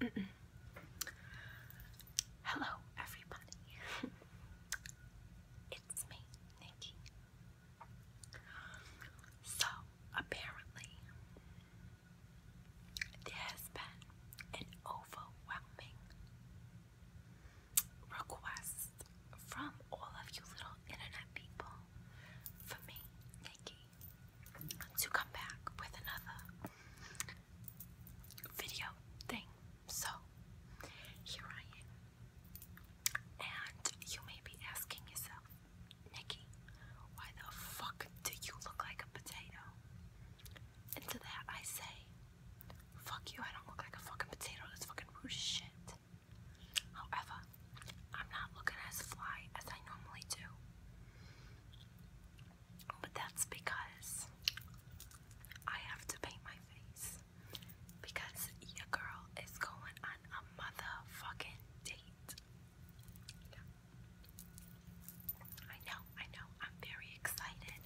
Hello, everybody. it's me, Nikki. So, apparently, there has been an overwhelming request from all of you little internet people for me, Nikki, to come back with another video thing. So, here I am. And you may be asking yourself, Nikki, why the fuck do you look like a potato? And to that I say, fuck you, I don't look like a fucking potato. That's fucking rude as shit. However, I'm not looking as fly as I normally do. But that's because I have to paint my face. Because your girl is going on a motherfucking date. I know, I know. I'm very excited.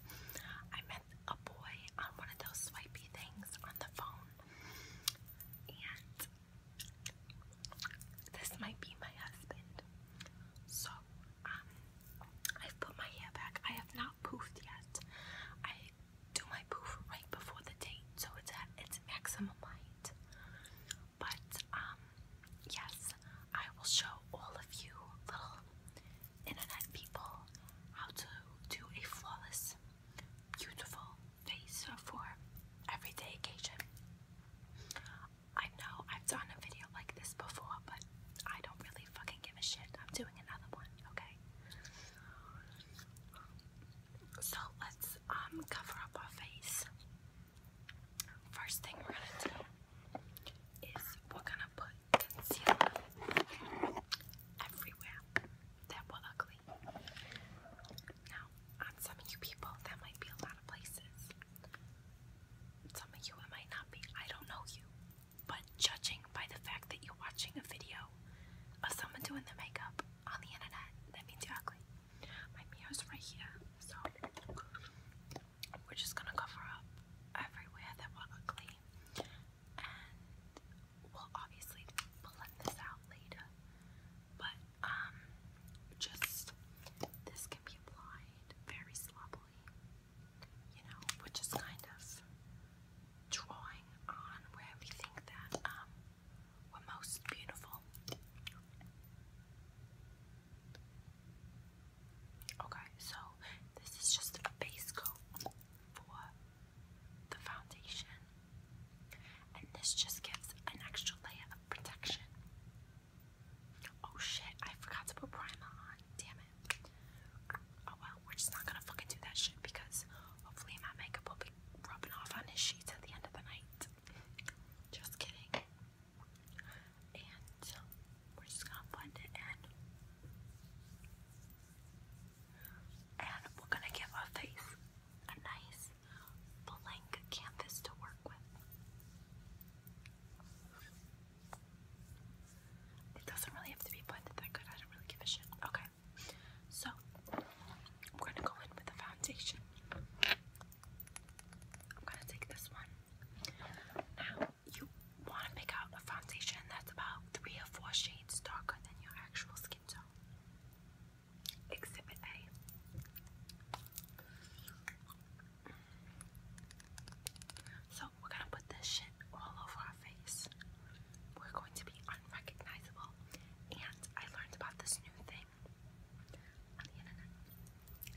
I met a boy on one of those swipey things on the phone. And this might be my husband. So, um, I've put my hair back. I have not poofed yet. I do my poof right before the date, so it's at its maximum height. But, um, yes, I will show all of you little internet people how to do a flawless, beautiful face for everyday occasion. I know I've done a video like this before, but I don't really fucking give a shit. I'm doing another one, okay? So let's um cover up our face. First thing we're gonna do is we're gonna put concealer everywhere that were ugly. Now, some of you people, that might be a lot of places. Some of you it might not be, I don't know you. But judging by the fact that you're watching a video of someone doing their makeup on the internet, that means you're ugly. My mirror's right here, so we're just gonna cover up everywhere that we're ugly. And we'll obviously blend this out later. But um just this be applied very sloppily, you know, which is kind of drawing on where we think that um, we're most beautiful. Okay, so this is just a base coat for the foundation, and this just gives an extra layer of protection. Oh shit, I forgot to put primer on. Damn it. Oh well, we're just not gonna fucking do that shit because hopefully my makeup will be rubbing off on his sheets at the end of the night. Just kidding. And we're just gonna blend it in. And we're gonna give our face a nice blank canvas to work with. It doesn't really have to be blended that good, I don't really give a shit. Okay, so we're gonna go in with the foundation. I'm gonna take this one. Now, you want to pick out a foundation that's about three or four shades darker than your actual skin tone. Exhibit A. So we're gonna put this shit all over our face. We're going to be unrecognizable. And I learned about this new thing on the internet.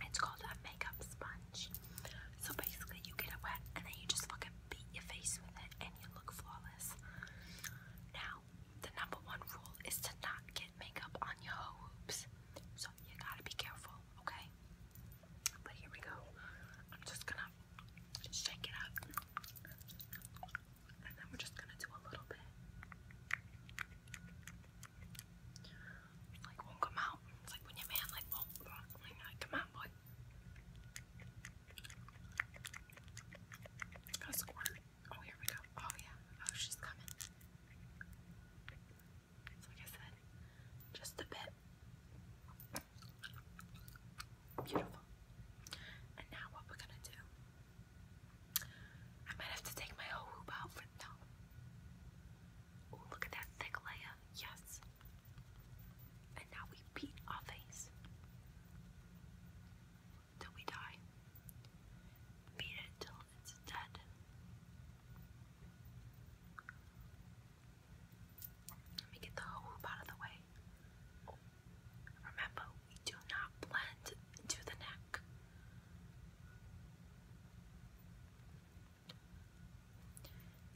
It's called a makeup sponge. So basically, you get it wet and then you just fucking beat your face with it and you look flawless. Now, the number one rule is to not get makeup on your hoops. So you gotta be careful, okay? But here we go. I'm just gonna shake it up. And then we're just gonna do a little bit. Like won't come out. It's like when your man like come out, boy. Oh here we go. Oh yeah. Oh she's coming like I said, just a bit. Beautiful. And now what we're gonna do. I might have to take my whole hoop out for now. Oh, look at that thick layer. Yes. And now we beat our face. Till we die. Beat it till it's Let me get the hoop out of the way. Remember, we do not blend into the neck.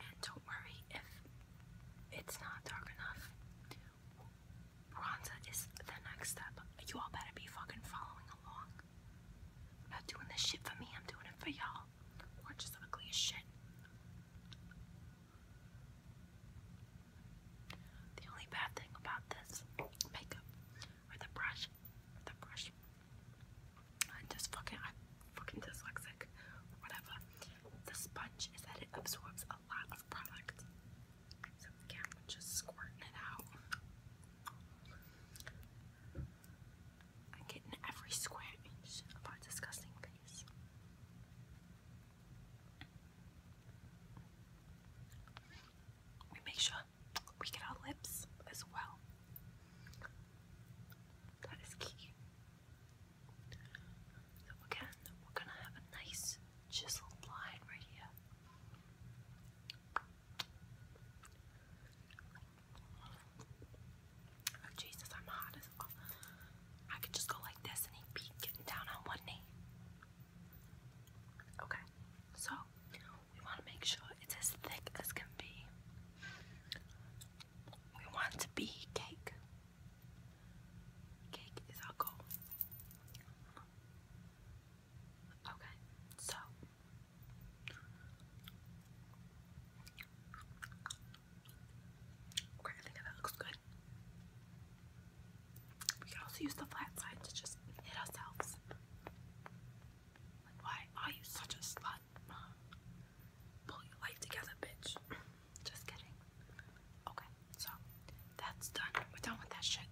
And don't worry if it's not dark enough. Bronzer is the next step. You all better be fucking following along. I'm not doing this shit for me, I'm doing it for y'all. We're ugly as shit. The only bad thing about this makeup or the brush, the brush, I just fucking, fucking dyslexic, whatever. The sponge is that it absorbs a lot of product. So, yeah, just squirting it out. I get in every square inch of our disgusting face. We make sure we get our lips as well. That is key. So we're gonna have a nice chiseled line right here. Oh, Jesus, I'm hot as well. I could just go like this and he'd be getting down on one knee. Okay, so we want to make sure it's as thick as can be. We want to be cake. Cake is our goal. Okay, so okay, that looks good. We can also use the flat side to just hit ourselves. why are you such a slut? Pull your life together, bitch. Just kidding. Okay, so that's done. We're done with that shit.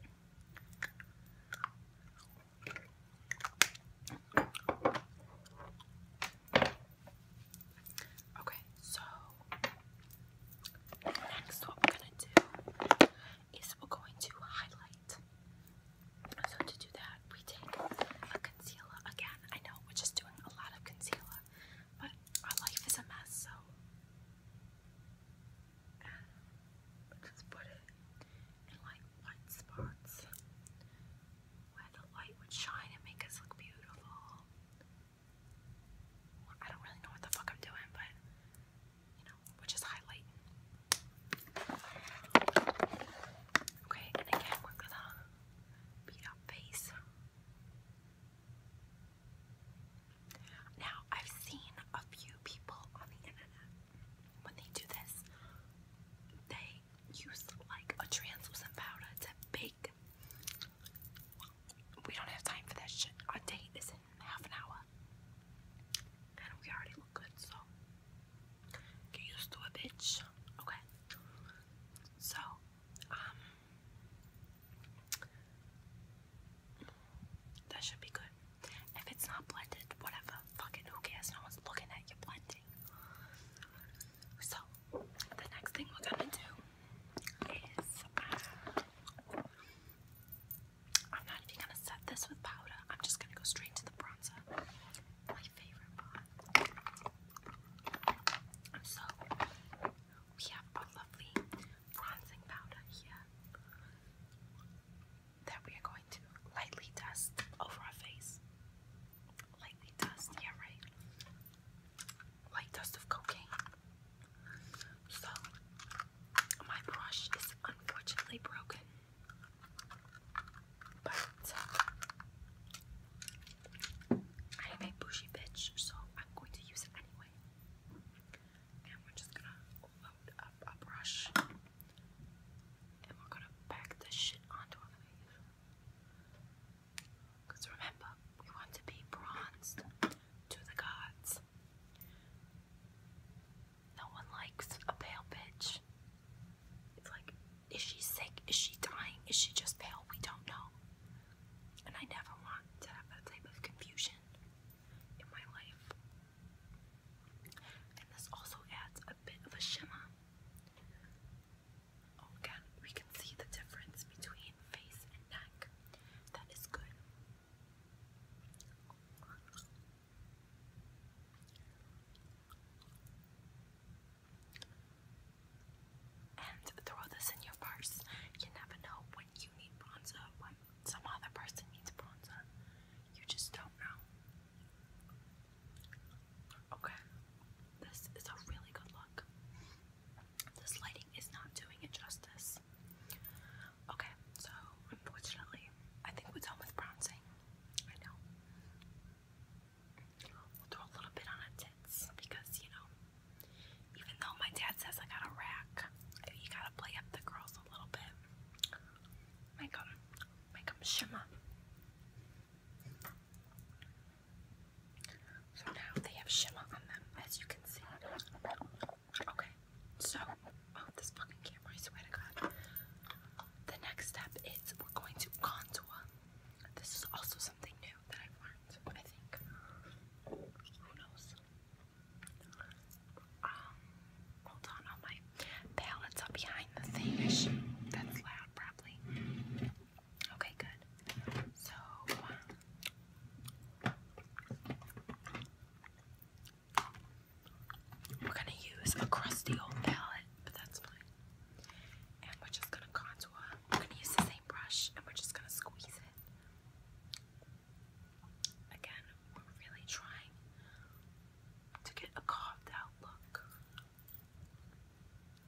Okay, so next what we're gonna do is we're going to highlight. So to do that, we take a concealer again. I know we're just doing a lot of concealer, but our life is a mess, so just put it in like light spots where the light would shine and make us look beautiful. I don't really know what the fuck I'm doing, but you know, which is highlighting. Okay, and again, we're gonna beat up face. Now, I've seen a few people on the internet when they do this, they use like a translucent powder to bake. We don't have time for that shit. Our date is in half an hour. And we already look good, so get used to it, bitch. Okay. So, um, that should be good. If it's not blended, whatever. Fucking who cares? No one's looking at you blending. So, the next thing we're gonna do is uh, I'm not even gonna set this with powder. I'm just gonna go straight to the bronzer. My favorite So, we have a lovely bronzing powder here that we are going to lightly dust over our face. Lightly dust, yeah, right? Light dust of cocaine. So, my brush is unfortunately broken. But I am a bougie bitch, so I'm going to use it anyway. And we're just gonna a, brush, and we're gonna pack this shit onto our face. Cause remember, we want to be bronzed to the gods. No one likes a pale bitch. It's like, is she sick? Is she dying? Is she just pale? We don't know. And I never want to have that type of confusion in my life. And this also adds a bit of a shimmer. Oh, again, we can see the difference between face and neck. That is good. And throw this in your purse. You never know when you need bronzer, when some other person needs bronzer. You just don't know. Okay. This is a really good look. This lighting is not doing it justice. Okay, so unfortunately, I think we're done with bronzing. I know. We'll throw a little bit on her tits because, you know, even though my dad says I got a rack, you gotta play up the girls a little bit. My make them shimmer. So now they have shimmer on them, as you can see. Okay, so, oh, this fucking camera, I swear to God. The next step is we're going to contour. This is also something new that I've learned, I think. Who knows? um, hold on, all my palettes are behind the thing. that's loud, probably. Okay, good. So, we're going to use a crusty old palette, but that's fine. And we're just going to contour. We're going to use the same brush and we're just going to squeeze it. Again, we're really trying to get a carved out look.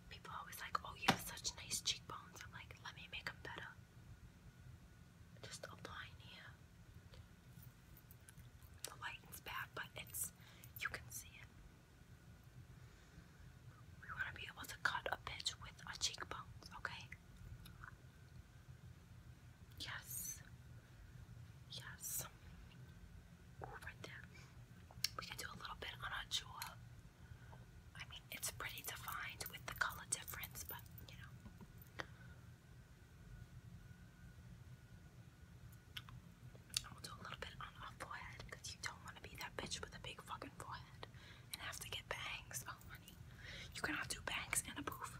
People always like, oh, you have such nice cheekbones. I'm like, let me make them better. Just a here. The lighting's bad, but it's, you can see it. We want to be able to cut a bitch with our cheekbones, okay? Yes. Yes. right there. We can do a little bit on a jewel. I mean, it's pretty defined with the color difference, but you know. we'll do a little bit on our forehead because you don't want to be that bitch with a big fucking forehead and have to get bangs. Oh, honey. You cannot do bangs and a booth.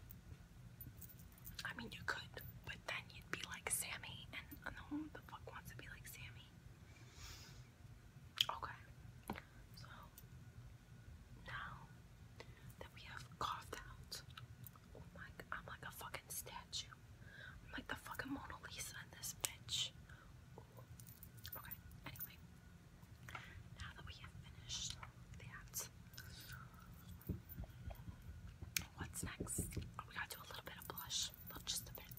I mean, you could, but then you'd be like Sammy, and uh, no one the fuck wants to be like Sammy. Okay, so now that we have coughed out, oh I'm like a fucking statue. I'm like the fucking Mona Lisa in this bitch. Okay, anyway, now that we have finished What's next? Oh, we gotta do a little bit of blush, just a bit,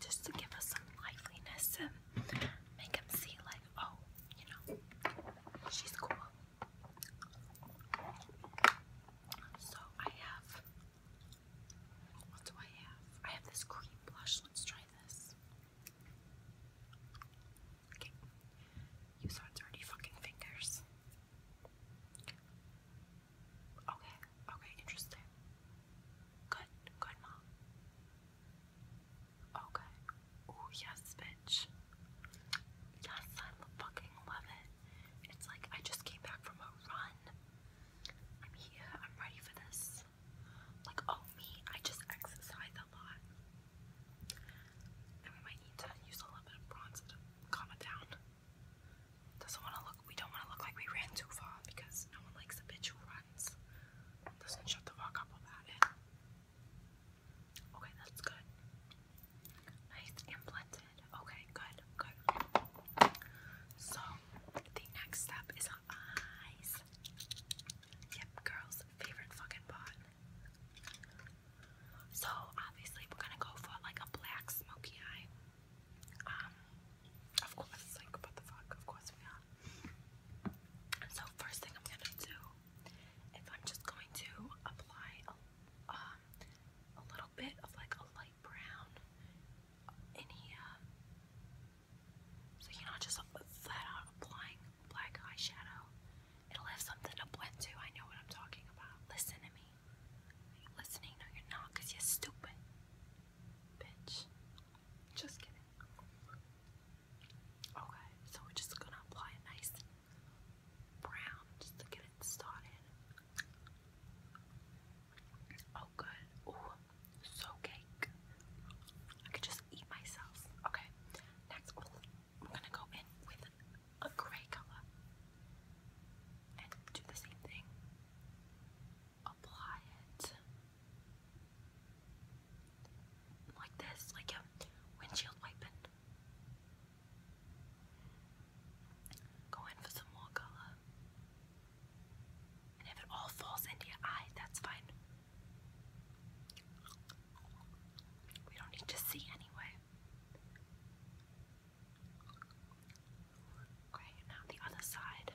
just to give us some liveliness and make him see like, oh, you know, she's cool. So I have, what do I have? I have this cream blush. Let's try this. Okay. You saw dirty fucking fingers. Okay, okay, interesting. Good, good mom. Okay. Oh yes, bitch. Yes, I fucking love it. It's like I just came back from a run. I'm here, I'm ready for this. Like, oh me, I just exercise a lot we might need to use a little bit of bronzer calm it down. Doesn't want to look, we don't want to look like we ran too far because no one likes a bitch who runs. Doesn't shut the fuck up about it. Okay, that's good. Nice and blended. Okay, good, good. So, the next step is eyes. Yep, girls, favorite fucking part. So obviously we're gonna go for like a black smoky eye. Um, of course, like what the fuck, of course we So first thing I'm gonna do is I'm just going to apply a, um, little bit of like a light brown in So you're not just flat applying black eyeshadow. It'll have something to blend to. I know what I'm talking about. Listen to me. listening? No, you're not, because you're stupid. Bitch. Just kidding. Okay, so we're just gonna apply a nice brown just to get it started. Oh, good. Ooh, so cake. I could just eat myself. Okay, next. I'm gonna go in with a gray color and do the same thing. Apply it like this, like a windshield wiper. Go in for some more color. And if it all falls into your eye, that's fine. We don't need to see anyway. Okay, now the other side.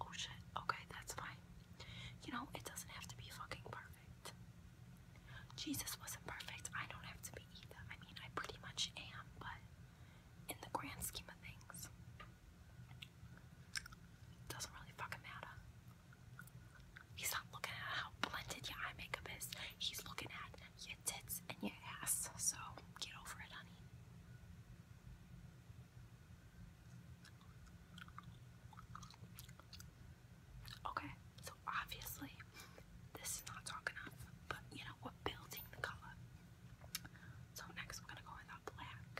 Oh shit, okay, that's fine. You know, it doesn't have to be fucking perfect. Jesus wasn't perfect. I don't have to be either. I mean, I pretty much am, but in the grand scheme of things, doesn't really fucking matter. He's not looking at how blended your eye makeup is. He's looking at your tits and your ass. So get over it, honey. Okay, so obviously this is not dark enough, but you know, we're building the color. So next we're gonna go in the black.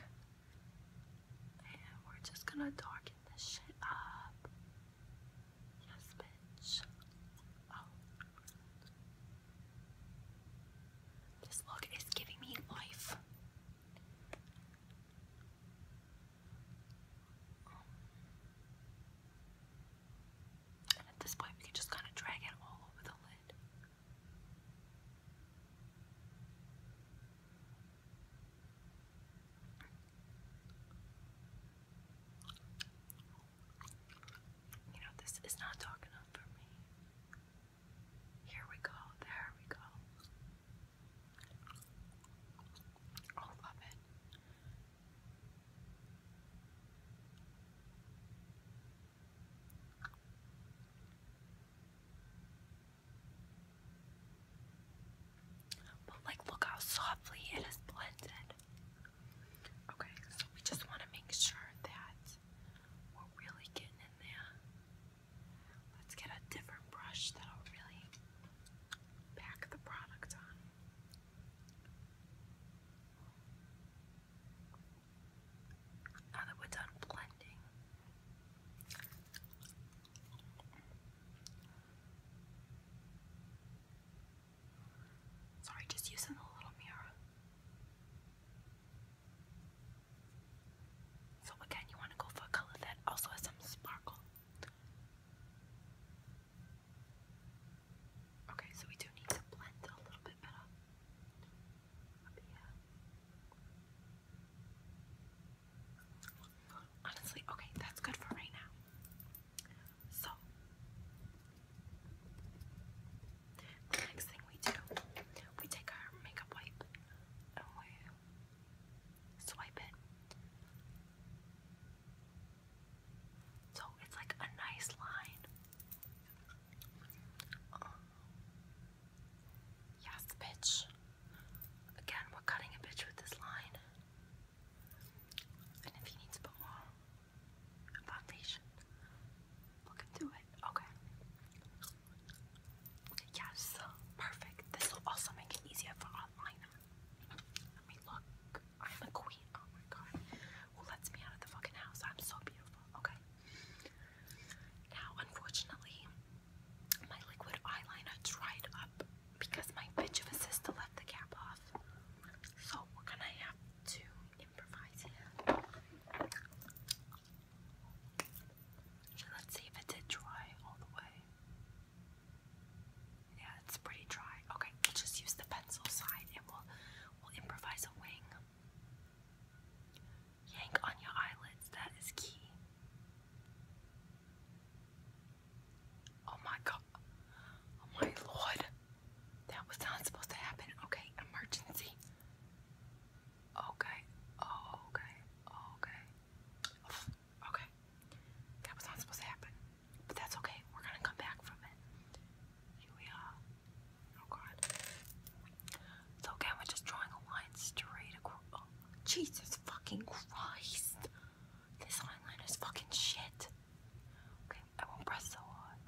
And we're just gonna darken this shit up. Yes, bitch. Oh. This look is giving me life. And at this point, we can just kind of drag it all over the lid. You know, this is not dark enough for me. Here we go, there we go. Oh, love it. But like look how softly it is blended. Okay, so we just want to make sure that we're really getting in there. Let's get a different brush that'll really pack the product on. Now that we're done blending, Sorry, just using the little mirror. So again, you want to go for a color that also has some sparkle. Okay, so we do need to blend a little bit better. Up Honestly, okay, that's good for right now. So, the next thing we do, we take our makeup wipe and we swipe it. So it's like a nice line. Um, yes, bitch. Again, we're cutting a bitch with this line. And if he needs a bit more foundation, we can do it. Okay. Yes, perfect. This will also make it easier for our liner. Let me look. I'm a queen. Oh my god. Who lets me out of the fucking house? I'm so beautiful. Okay. Now, unfortunately, my liquid eyeliner dried up because my bitch of a sister left the cap off. So we're gonna have to improvise here. let's see if it did dry all the way. Yeah, it's pretty dry. Okay, just use the pencil side and will we'll improvise a wing. Yank on your eyelids, that is key. Oh my god. Oh my lord. That was not supposed to happen. Okay, emergency. Okay. Oh, okay. Okay. Okay. That was not supposed to happen. But that's okay. We're gonna come back from it. Here we are. Oh god. So again, we're just drawing a line straight across. Oh, Jesus fucking Christ. This eyeliner's fucking shit. Okay, I won't press so hard.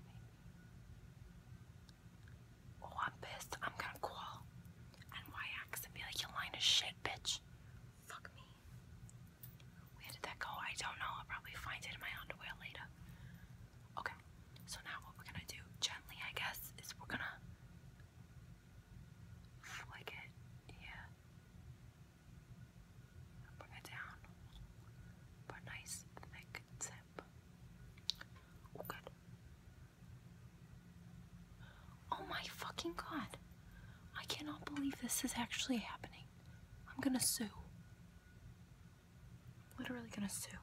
Oh, I'm pissed. I'm gonna call and and be like, your line is shit, bitch. Fuck me. Where did that go? I don't know. I'll probably find it in my underwear later. Okay, so now what we're gonna do, gently, I guess, is we're gonna flick it, yeah. Bring it down. But nice thick tip. Oh good. Oh my fucking god. I cannot believe this is actually happening. I'm gonna sue. I'm literally gonna sue.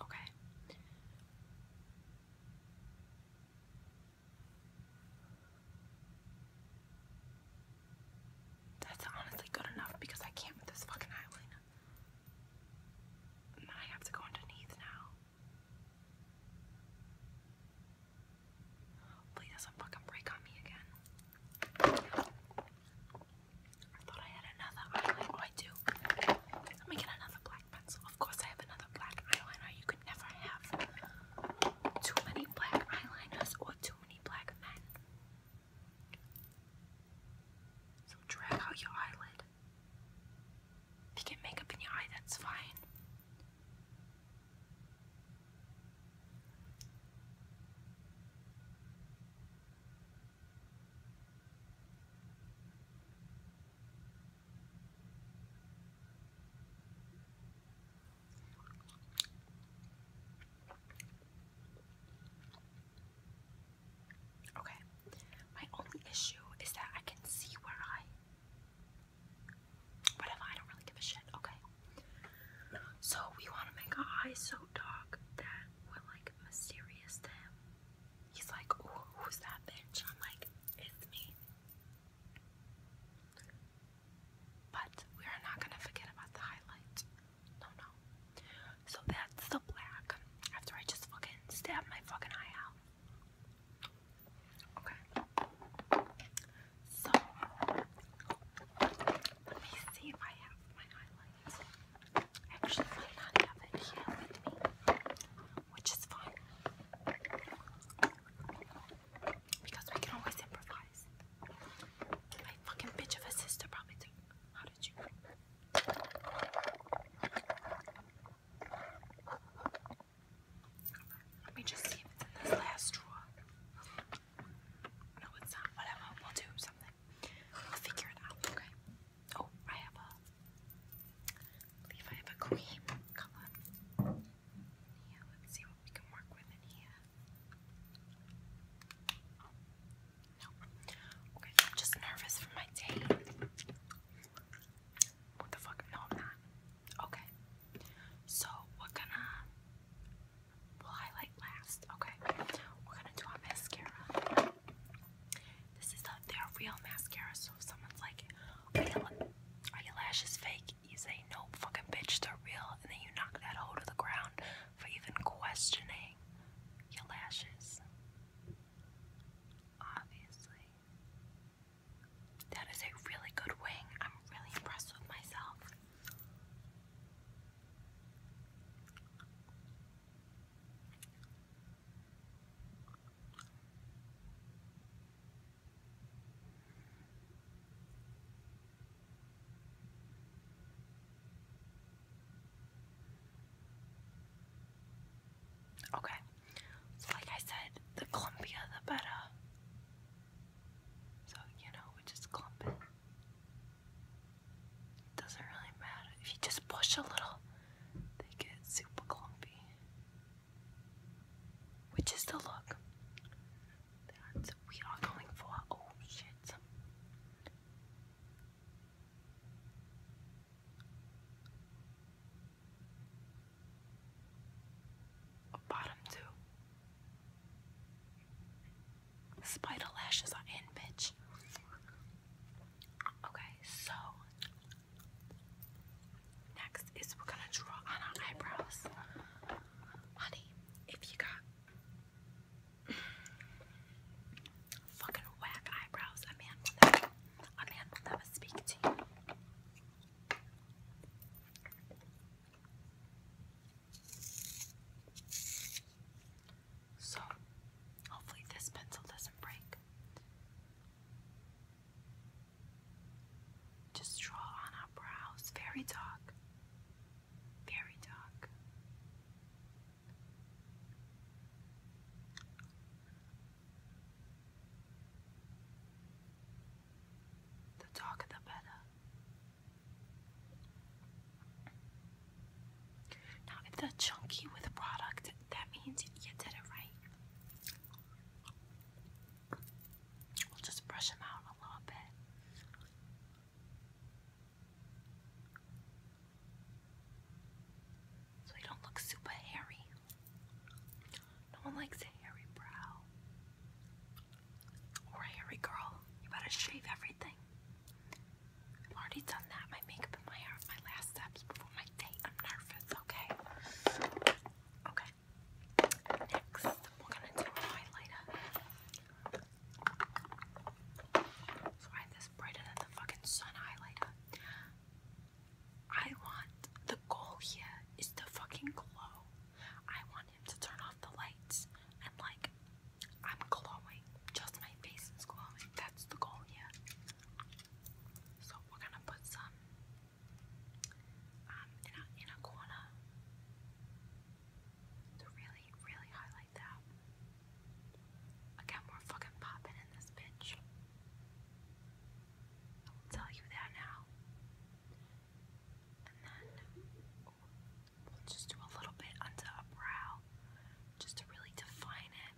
Okay. That's honestly good enough because I can't with this fucking eyeliner. I have to go underneath now. Hopefully doesn't fucking break on me again. I thought I had another eyeliner. Oh, I do. Let me get another black pencil. Of course, I have another black eyeliner. You could never have too many black eyeliners or too many black men. So drag out your eyelid. If you get makeup in your eye, that's fine. Okay, my only issue is that I can see where I. Whatever, I don't really give a shit. Okay. So we want to make our eyes so dark that we're like mysterious to him. He's like, Ooh, who's that bitch? I'm like, it's me. But we are not gonna forget about the highlight. No, no. So that's the black. After I just fucking stabbed my fucking eye out. Okay. So let me see if I have my highlight. Actually, I might not have it here with me, which is fine because we can always improvise. My fucking bitch of a sister How did you? Let me just see if it's in this last drawer. No, it's not. Whatever. We'll do something. We'll figure it out, okay? Oh, I have a. I believe I have a cream color. Yeah, let's see what we can work with in here. no. Okay, I'm just nervous for my day. What the fuck? No, I'm not. Okay. So, we gonna. will highlight last. Okay. We're gonna do our mascara. This is not their real mascara, so if someone's like, are your lashes fake? You say, no, fucking bitch, they're real. And then you knock that hoe to the ground for even questioning your lashes. Obviously. That is a really good wing. I'm really impressed with myself. Okay, so like I said, the clumpier the better. So, you know, we just clump it. It doesn't really matter. If you just push a little, they get super clumpy. Which is the look that we are going for. Oh shit. bottom two. Spider lashes are in, bitch. Okay, so next is we're gonna draw on our eyebrows. Honey, if you got fucking whack eyebrows, a man a man will never speak to you. So, hopefully, this pencil doesn't break. Just draw on our brows, very dark, very dark. The darker the better. Now, if they chunky with product, that means you did it right. We'll just brush them out a little bit. So they don't look super hairy. No one likes a hairy brow. Or a hairy girl. You better shave everything. I've already done that. My makeup my hair, uh, my last steps before my date. I'm nervous, okay? Okay. Next, we're gonna do a highlighter. So I have this brighter than the fucking sun highlighter. I want the goal here is the fucking glow. I want him to turn off the lights and like I'm glowing. Just my face is glowing. That's the goal here. So we're gonna put some um, in a corner to really, really highlight that. Again, we're fucking popping in this bitch. I will tell you that now. And then we'll just do a little bit under a brow just to really define it.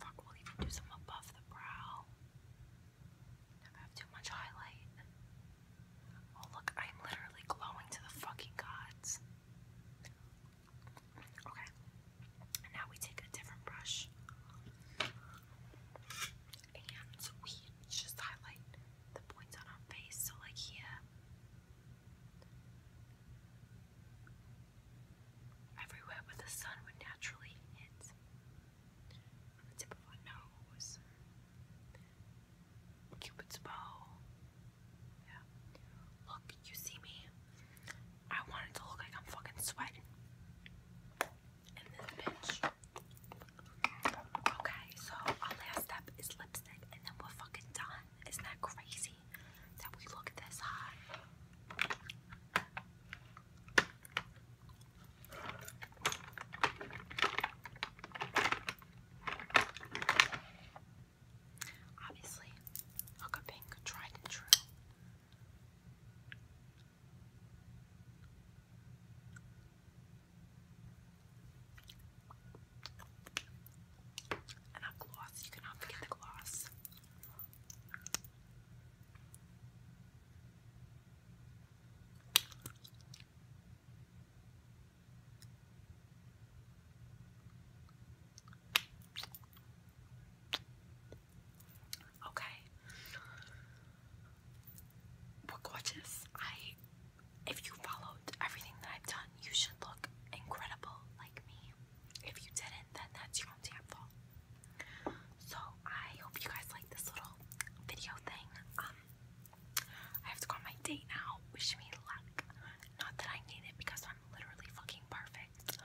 Fuck, we'll even do some above the brow. Never have too much highlight. Oh look, I'm literally glowing to the fucking gods. Okay, and now we take a different brush. And we just highlight the points on our face. So like here everywhere where the sun would naturally hit, the tip of our nose, Cupid's bow. Yeah. Look, you see me. I want it to look like I'm fucking sweating. And this bitch. Okay, so our last step is lipstick, and then we're fucking done. Isn't that crazy that we look this high? Obviously, Hoka Pink, tried and true. And a gloss. You cannot forget the gloss. Okay. We're gorgeous. I if you followed everything that I've done, you should look incredible like me. If you didn't, then that's your own damn fault. So I hope you guys like this little video thing. Um, I have to go on my date now. Wish me luck. Not that I need it because I'm literally fucking perfect.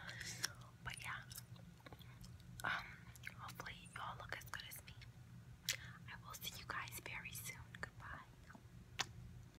But yeah. Um, hopefully you all look as good as me. I will see you guys very soon. Goodbye.